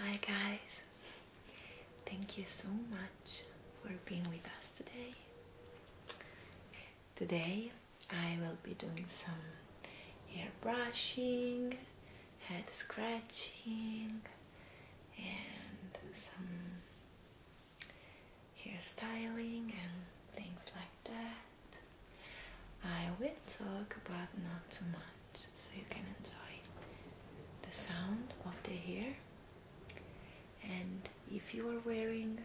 Hi guys, thank you so much for being with us today. Today I will be doing some hair brushing, head scratching, and some hair styling and things like that. I will talk about not too much so you can enjoy the sound of the hair and if you are wearing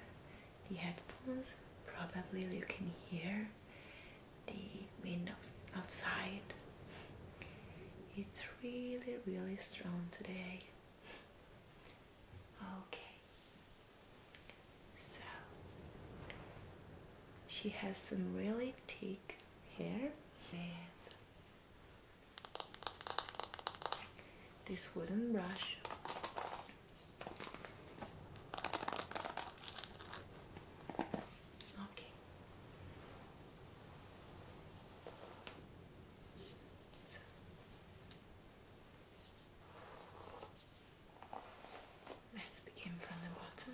the headphones probably you can hear the wind outside. It's really really strong today. Okay. So she has some really thick hair and this wooden brush. Okay. So. Let's begin from the bottom.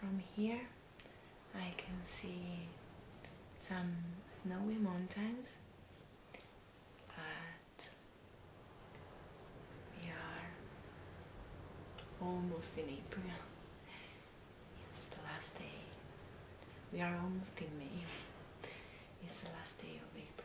From here I can see some snowy mountains but we are almost in April. It's the last day. We are almost in May. It's the last day of April.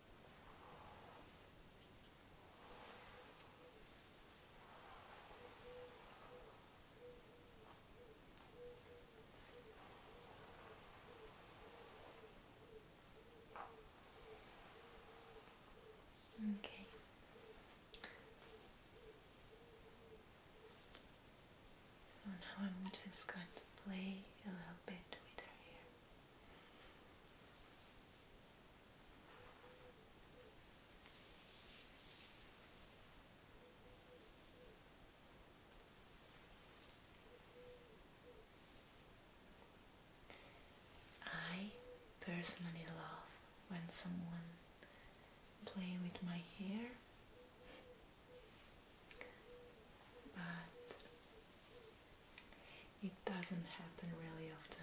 Okay. So now I'm just going to play a little bit with her hair. I personally love when someone play with my hair but it doesn't happen really often.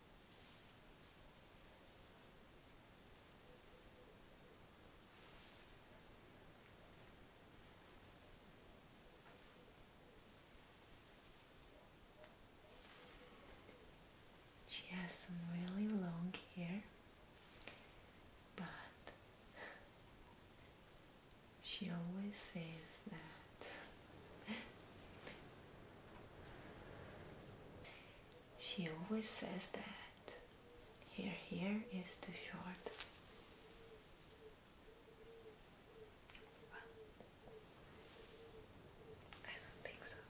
She has some really long hair, but she always says that she always says that her hair is too short. I don't think so.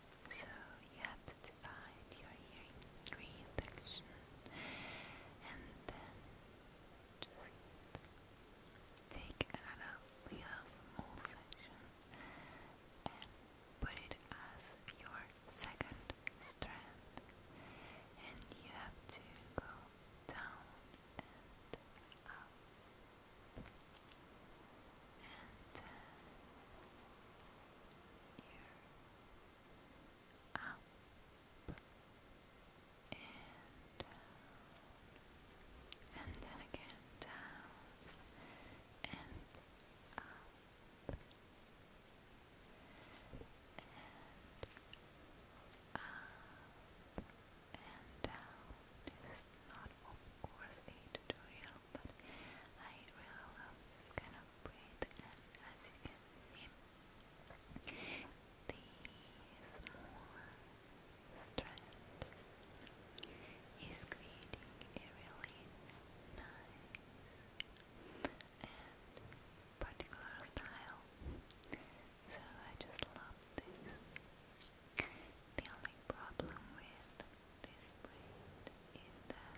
So you have to divide your ear in three sections and then just take out of small section and put it as your second strand and you have to go down and up and uh, up and down, and then again down and up and up and down. This is not, of course, a tutorial now, but I really love kind of breed as you can see the smaller strands is creating a really nice and particular style so I just love this the only problem with this brand is that,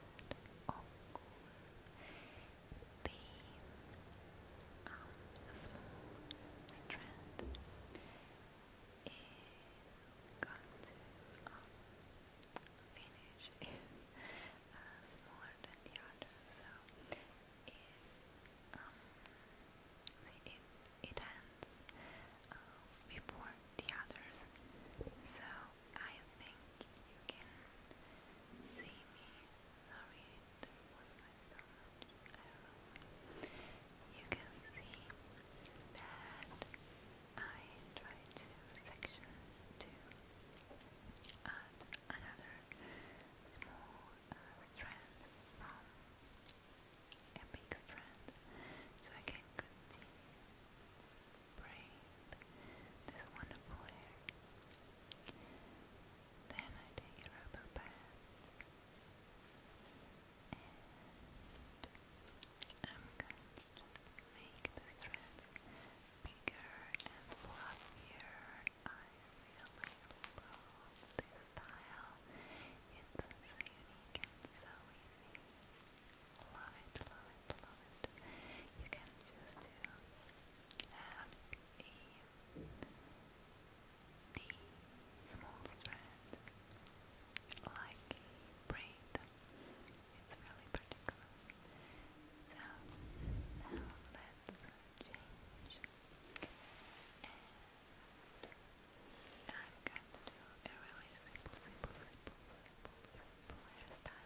of course, the um, strand is going to finish is smaller than the other, so it, um, it, ends uh, before the others, so I think you can see me. Sorry, that was my stomach. You can see that I try to section to another small uh, strand from a big strand so I can breathe this wonderful air. Then I take a rubber band I'm going to make the threads bigger and fluffier. I really love this style. It's so unique and so easy. Love You can choose to have small strand like a It's really particular. So now let's change. And I'm going to do a really simple, simple, simple, simple, simple simple hairstyle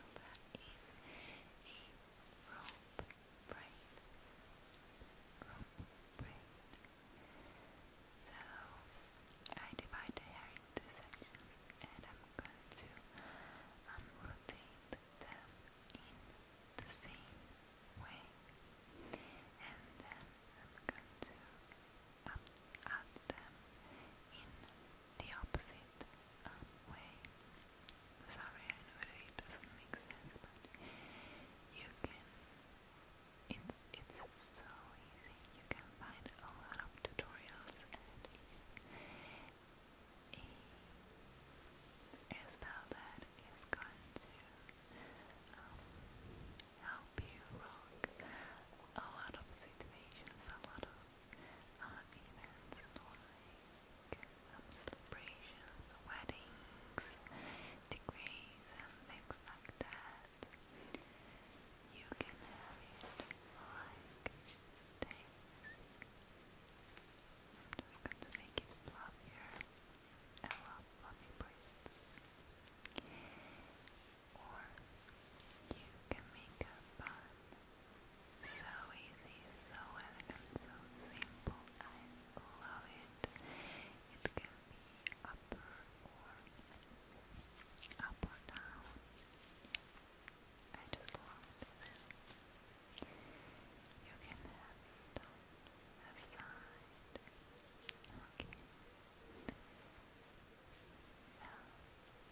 So I divide the hair into sections and I'm going to rotate them in the same way. And then I'm going to um, them in the opposite um, way. Sorry, I know it doesn't make sense, but you can. It's, it's so easy. You can find a lot of tutorials and a, style that is going to um, help you rock a lot of situations, a lot of uh, events like celebrations, weddings, degrees and things like that. You can have it like this. I'm just going to make it fluffier. I love Or you can make a bun so easy, so elegant, so simple. I love it. It can be up or down. I just love this. You can have it on a side. Okay.